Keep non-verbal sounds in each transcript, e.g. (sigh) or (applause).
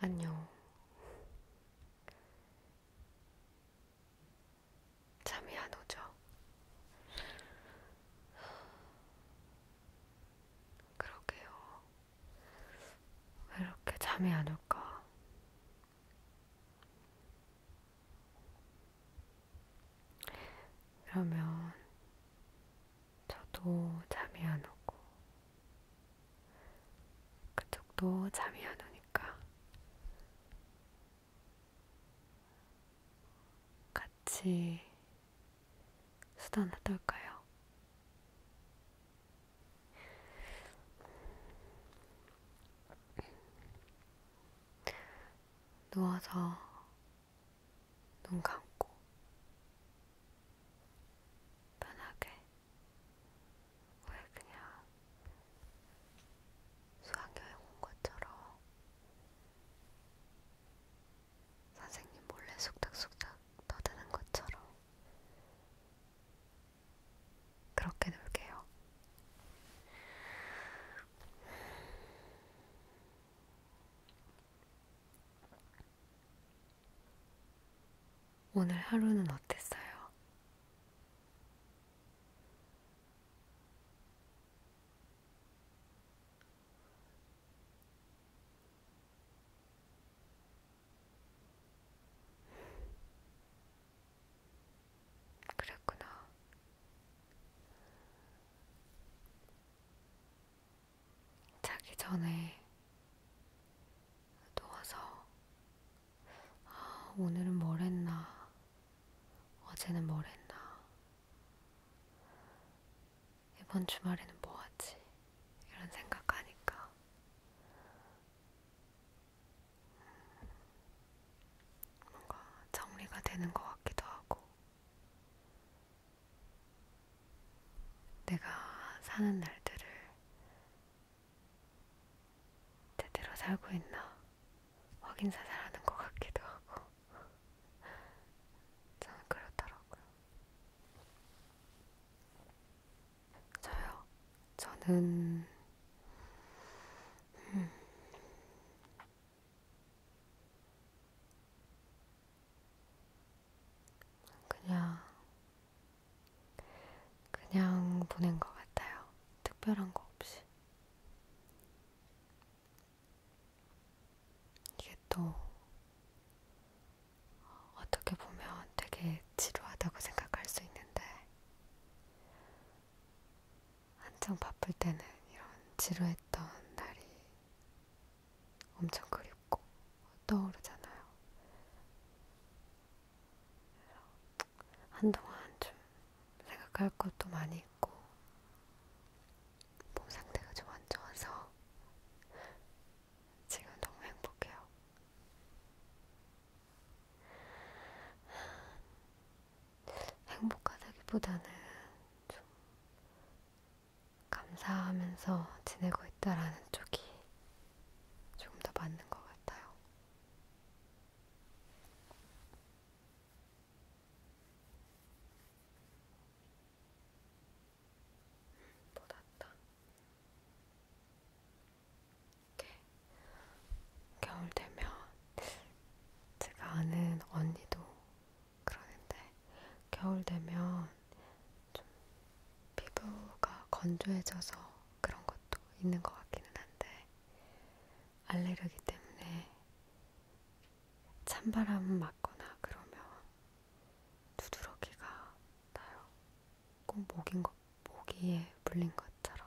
안녕. 잠이 안 오죠? 그러게요. 왜 이렇게 잠이 안 올까? 그러면 저도 잠이 안 오고 그쪽도 잠이 안 오니까 같이 수다나 떨까요? 누워서 눈 감고 편하게 왜 그냥 수학여행 온 것처럼 선생님 몰래 속닥속닥 떠드는 것처럼 그렇게 놀게요. 오늘 하루는 어땠어요? 그랬구나. 자기 전에 누워서 아, 오늘은 뭘 했나, 어제는 뭘 했나, 이번 주말에는 뭐 하지? 이런 생각하니까 뭔가 정리가 되는 것 같기도 하고, 내가 사는 날들을 제대로 살고 있나 확인사살하는 것 같기도 하고, 저는 (laughs) 그렇더라고요. 저요? 저는 음, 그냥, 그냥 보낸 것 같아요. 특별한 거 없이. 이게 또, 어떻게 보면 되게 지루하다고 생각할 수 있는데, 한창 바쁠 때는 이런 지루했던 날이 엄청 그립고 떠오르잖아요. 한동안 좀 생각할 것도 많이 있고 몸 상태가 좀 안 좋아서 지금 너무 행복해요. 행복하다기보다는 좀 감사하면서 지내고 있다라는 쪽이 조금 더 맞는 것 같아요. 음, 뭐 낫다. 이렇게 겨울 되면 제가 아는 언니도 그러는데 겨울 되면 좀 피부가 건조해져서 그런 것도 있는 것 같기는 한데 알레르기 때문에 찬바람 맞거나 그러면 두드러기가 나요. 꼭 목인 것, 모기에 물린 것처럼.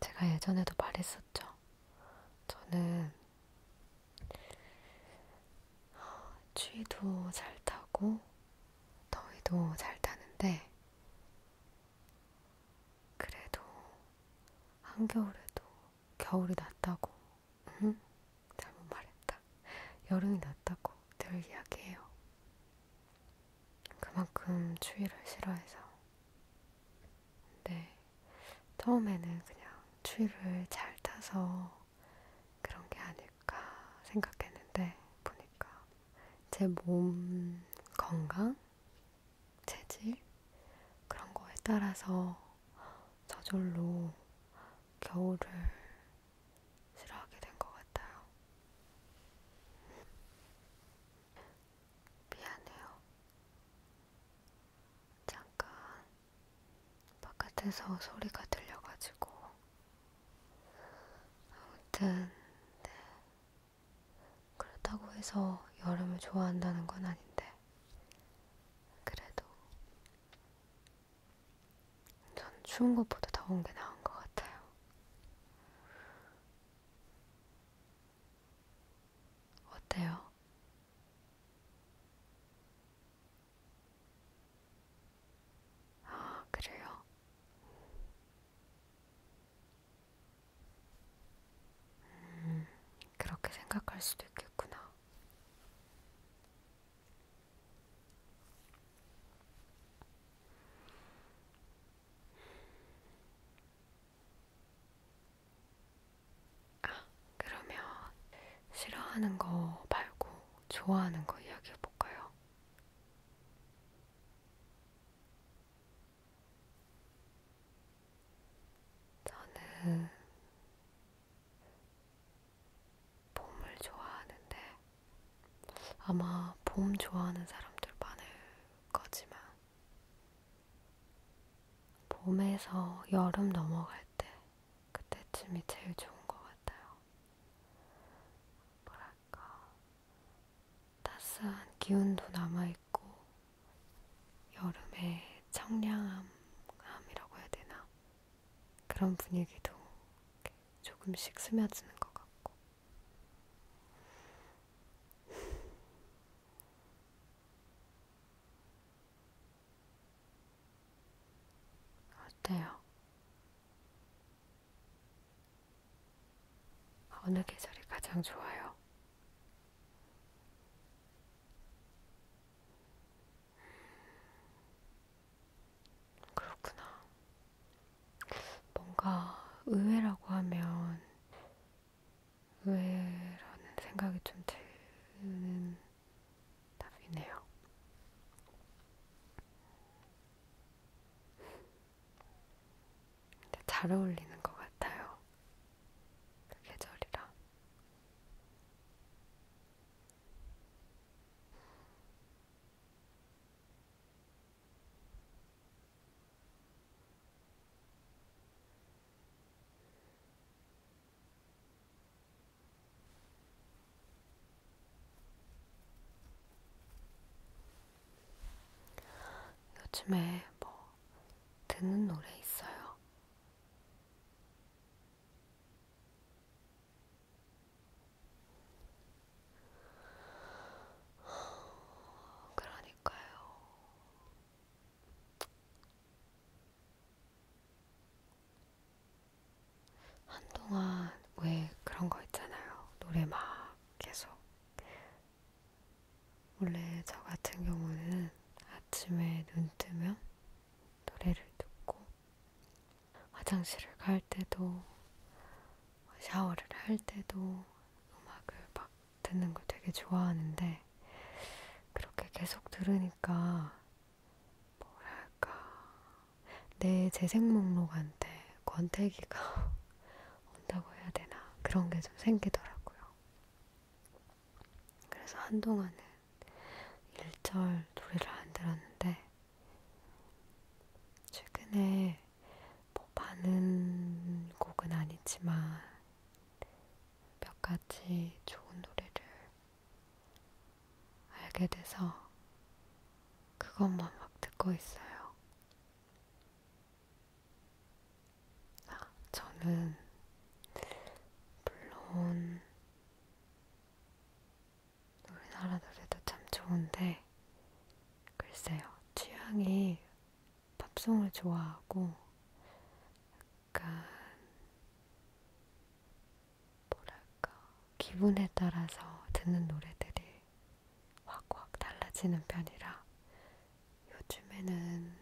제가 예전에도 말했었죠. 저는 추위도 잘 타고 더위도 잘 타는데 그래도 한겨울에도 겨울이 낫다고 응, 잘못 말했다. 여름이 났다고 늘 이야기해요. 그만큼 추위를 싫어해서. 근데 처음에는 그냥 추위를 잘 타서 그런 게 아닐까 생각했는데 보니까 제 몸 건강, 체질 그런 거에 따라서 저절로 겨울을 싫어하게 된 것 같아요. 미안해요. 잠깐 바깥에서 소리가 들려가지고 아무튼 네. 그렇다고 해서 여름을 좋아한다는 건 아닌데 그래도 전 추운 것보다 더운 게 나은 것 같아요. 어때요? 아, 그래요? 음, 그렇게 생각할 수도 있겠구나. 아, 그러면 싫어하는 거 말고 좋아하는 거 이야기해 볼까요? 저는 봄을 좋아하는데 아마 봄 좋아하는 사람들 많을 거지만 봄에서 여름 넘어갈 때 그때쯤이 제일 좋은 것 같아요. 뭐랄까 따스한 기운도 남아있고 여름의 청량함이라고 해야 되나? 그런 분위기도 조금씩 스며드는 것 같고. 어때요? 어느 계절이 가장 좋아요? 그렇구나. 뭔가 의외라고 하면 의외라는 생각이 좀 드는 답이네요. 근데 잘 어울리는 것 같아요. 그 계절이랑 요즘에 뭐 듣는 노래 있어요? 그러니까요. 한동안 왜 그런 거 있잖아요. 노래 막 계속. 원래 저 같은 경우는 아침에 눈 뜨면 노래를 듣고 화장실을 갈 때도 샤워를 할 때도 음악을 막 듣는 걸 되게 좋아하는데 그렇게 계속 들으니까 뭐랄까 내 재생 목록한테 권태기가 (laughs) 온다고 해야 되나 그런 게 좀 생기더라고요. 그래서 한동안은 1절 노래를 안 들었는데 최근에 뭐 많은 곡은 아니지만 몇 가지 좋은 노래를 알게 돼서 그것만 막 듣고 있어요. 아, 저는 물론 우리나라 노래도 참 좋은데 글쎄요 취향이 팝송을 좋아하고 약간 뭐랄까 기분에 따라서 듣는 노래들이 확확 달라지는 편이라 요즘에는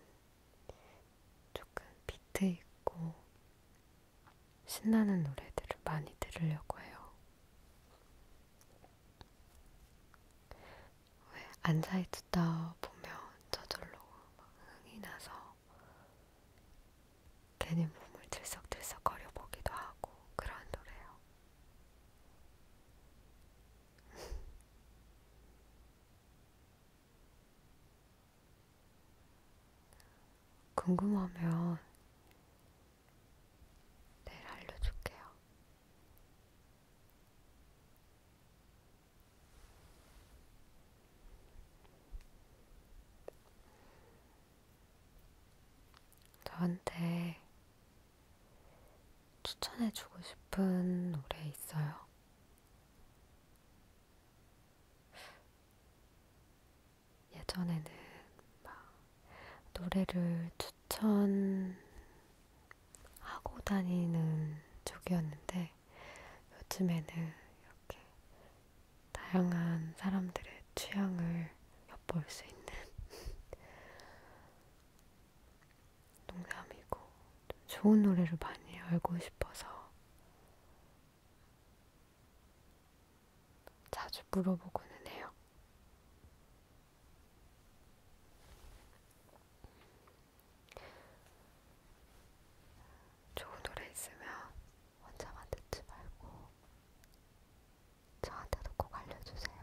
조금 비트 있고 신나는 노래들을 많이 들으려고 해요. 왜 앉아있다 보면 저절로 막 흥이 나서 괜히 몸을 들썩들썩 거려 보기도 하고 그런 노래요. 궁금하면 내일 알려줄게요. 저한테 추천해주고 싶은 노래 있어요? 예전에는 막 노래를 추천하고 다니는 쪽이었는데 요즘에는 이렇게 다양한 사람들의 취향을 엿볼 수 있는 농담이고 좋은 노래를 많이 알고 싶어서 자주 물어보고는 해요. 좋은 노래 있으면 혼자만 듣지 말고 저한테도 꼭 알려주세요.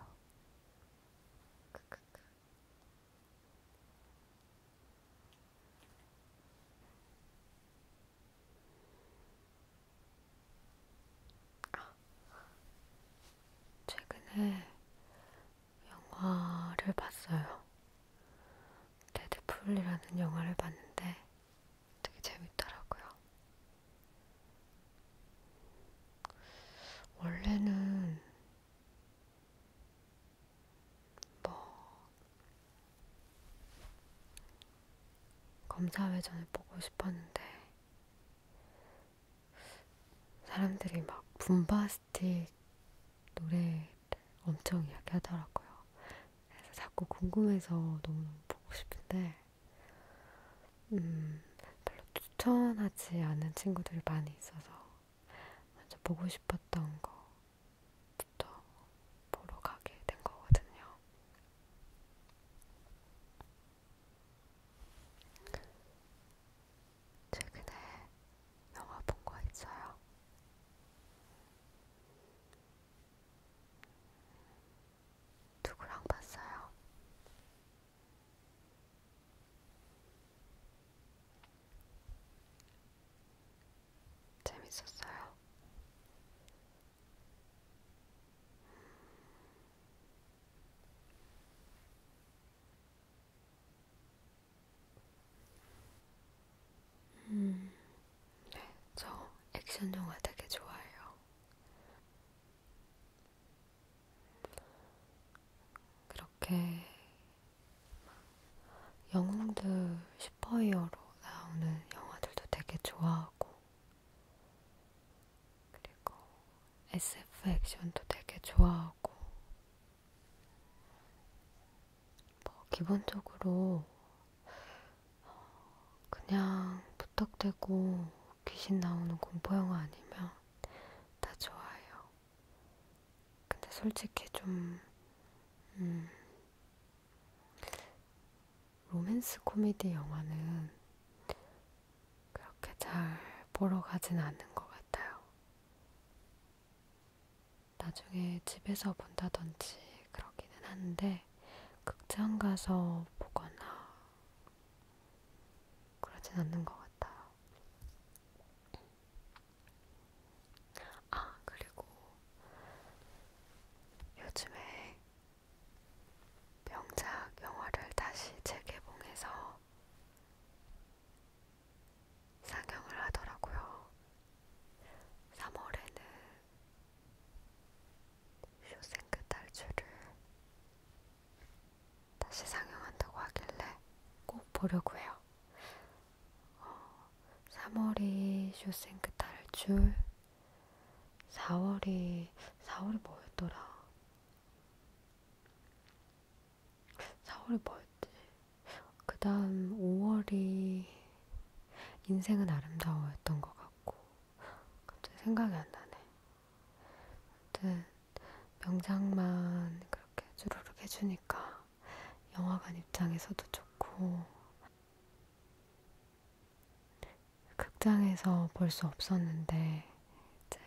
크크크. 아, 최근에 영화를 봤어요. 데드풀이라는 영화를 봤는데 되게 재밌더라고요. 원래는 뭐 검사 회전을 보고 싶었는데 사람들이 막 붐바스틱 노래를 엄청 이야기하더라고요. 그래서 자꾸 궁금해서 너무 보고 싶은데 음 별로 추천하지 않은 친구들이 많이 있어서 먼저 보고 싶었던 거부터 보러 가게 된 거거든요. 최근에 영화 본 거 있어요. 누구랑 봤어요? 재밌었어요. 음, 네, 저 액션 영화 되게 좋아해요. 이렇게 영웅들 슈퍼히어로 나오는 영화들도 되게 좋아하고 그리고 SF 액션도 되게 좋아하고 뭐 기본적으로 어, 그냥 부탁되고 귀신 나오는 공포영화 아니면 다 좋아요. 근데 솔직히 좀 음, 로맨스 코미디 영화는 그렇게 잘 보러 가진 않는 것 같아요. 나중에 집에서 본다든지 그러기는 한데 극장 가서 보거나 그러진 않는 것 같아요. 같아요. 아, 그리고 요즘에 명작 영화를 다시 재개봉해서 상영을 하더라고요. 3월에는 쇼생크 탈출을 다시 상영한다고 하길래 꼭 보려고 해요. 어, 3월이 쇼생크 탈출, 4월이, 4월이 뭐였더라? 4월이 뭐였지? 그 다음 5월이 인생은 아름다워였던 것 같고, 갑자기 생각이 안 나네. 아무튼 명장만 그렇게 주르륵 해주니까 영화관 입장에서도 좋고 극장에서 볼 수 없었는데 이제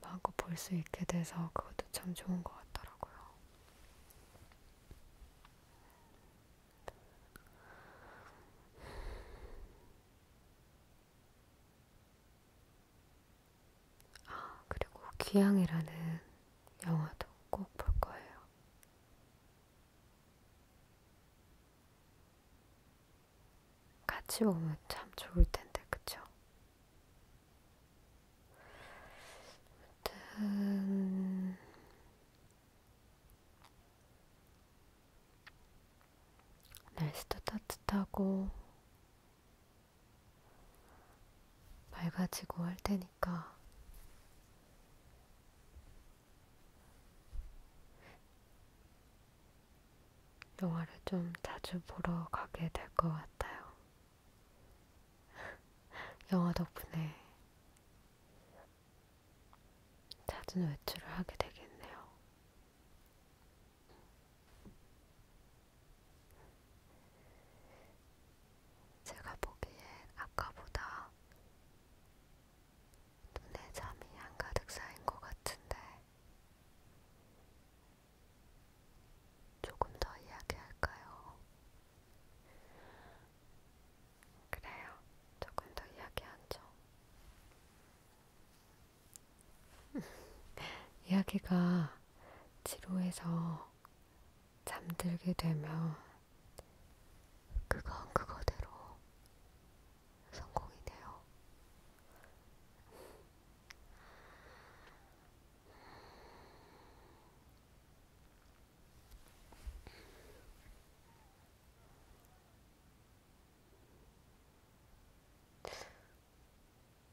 마음껏 볼 수 있게 돼서 그것도 참 좋은 것 같더라고요. 아, 그리고 기양이라는 영화도 꼭 볼 거예요. 같이 보면 참 좋을 텐데, 그쵸? 아무튼, 날씨도 따뜻하고, 맑아지고 할 테니까 영화를 좀 자주 보러 가게 될 것 같아요. (laughs) 영화 덕분에 자주 외출을 하게 되겠네요. 제가 보기엔 아까보다 눈에 잠이 한가득 쌓인 것 같은데 조금 더 이야기할까요? 그래요. 조금 더 이야기하죠. (laughs) 이야기가 지루해서 잠들게 되면 그건 그거대로 성공이네요.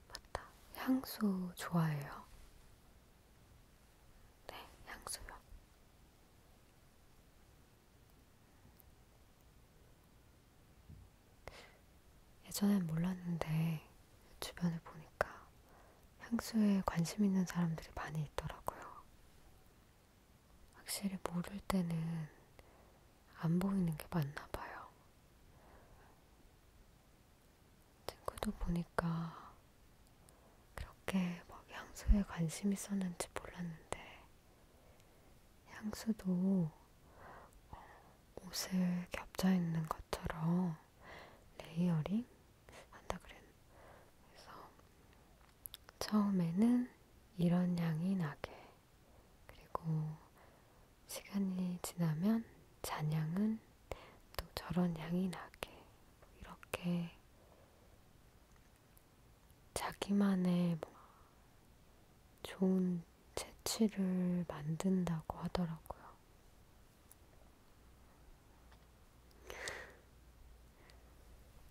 맞다. 향수 좋아해요? 네, 향수요. 예전엔 몰랐는데 주변을 보니까 향수에 관심 있는 사람들이 많이 있더라고요. 확실히 모를 때는 안 보이는 게 맞나 봐요. 친구도 보니까 그렇게 막 향수에 관심 있었는지 몰랐는데 향수도 어, 옷을 겹쳐 있는 것처럼 레이어링 한다 그랬. 그래서 처음에는 이런 향이 나게 그리고 시간이 지나면 잔향은 또 저런 향이 나게 이렇게 자기만의 뭐 좋은 채취를 만든다고 하더라고요.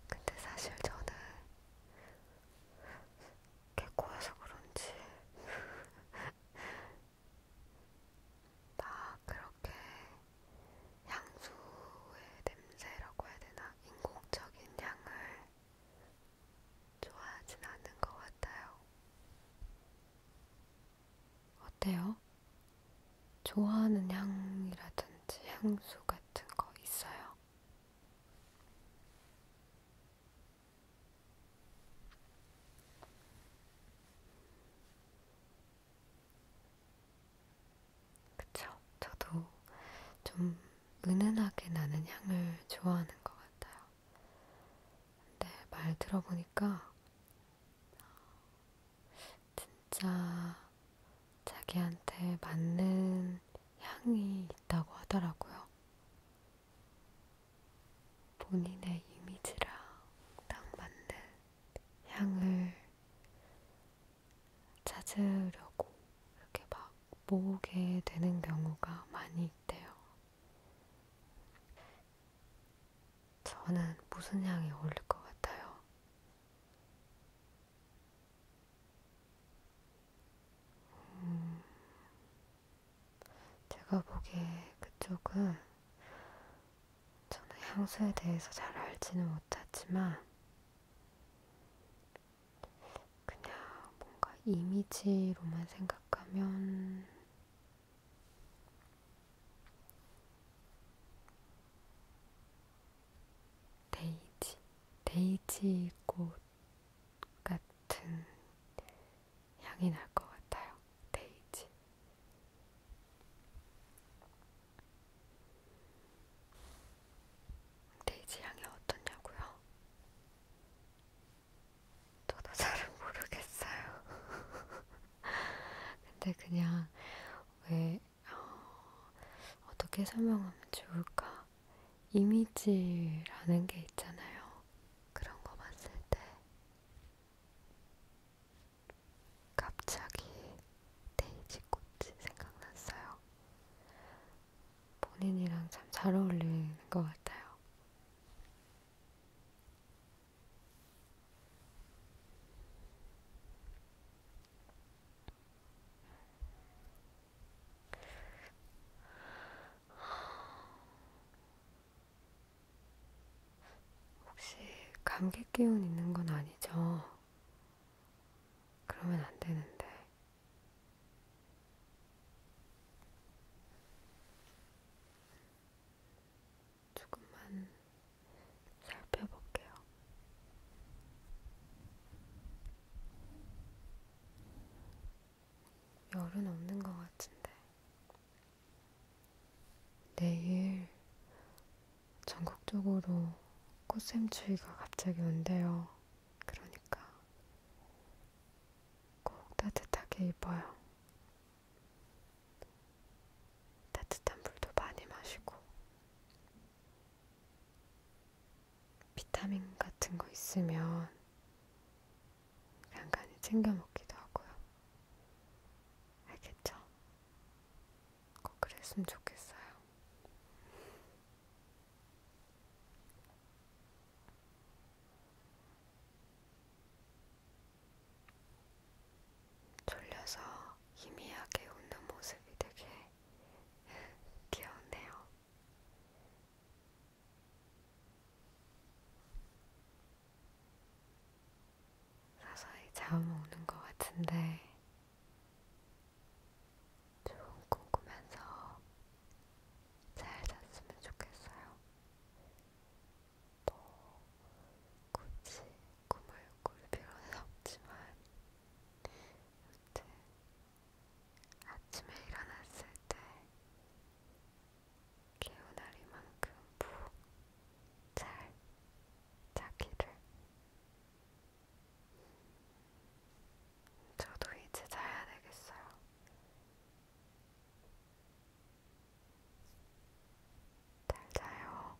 근데 사실 저는 개코여서 그런지 (laughs) 나 그렇게 향수의 냄새라고 해야 되나 인공적인 향을 좋아하진 않는 것 같아요. 어때요? 좋아하는 향이라든지 향수 같은 거 있어요? 그쵸? 저도 좀 은은하게 나는 향을 좋아하는 것 같아요. 근데 말 들어보니까 진짜 자기한테 맞는 향이 있다고 하더라고요. 본인의 이미지랑 딱 맞는 향을 찾으려고 이렇게 막 모으게 되는 경우가 많이 있대요. 저는 무슨 향이 어울릴 것 같아요? 음, 제가 보기에 그쪽은 저는 향수에 대해서 잘 알지는 못하지만 그냥 뭔가 이미지로만 생각하면 데이지, 데이지 꽃 같은 향이 날 것 같아요. 데이지. 데이지 향이 어떻냐고요? 저도 잘은 모르겠어요. (laughs) 근데 그냥 왜 어, 어떻게 설명하면 좋을까? 이미지라는 게 있잖아요. 그런 거 봤을 때 갑자기 데이지 꽃이 생각났어요. 본인이랑 참 잘 어울리는 것 같아요. 혹시 감기 기운 있는 건 아니죠? 그러면 안 되는데. 조금만 살펴볼게요. 열은 없는 것 같은데. 내일 전국적으로 꽃샘추위가 갑자기 온대요. 그러니까 꼭 따뜻하게 입어요. 따뜻한 물도 많이 마시고. 비타민 같은 거 있으면 간간히 챙겨 먹기도 하고요. 알겠죠? 꼭 그랬으면 좋겠어요. 졸려서 희미하게 웃는 모습이 되게 (laughs) 귀엽네요. 서서히 잡아먹는 것 같은데 좋은 꿈 꾸면서 잘 잤으면 좋겠어요. 뭐 굳이 꿈을 꿀 필요는 없지만 여튼 아침에 일어났을 때 개운하리만큼 푹 잘 자기를 저도 이제 자야 되겠어요. 잘 자요.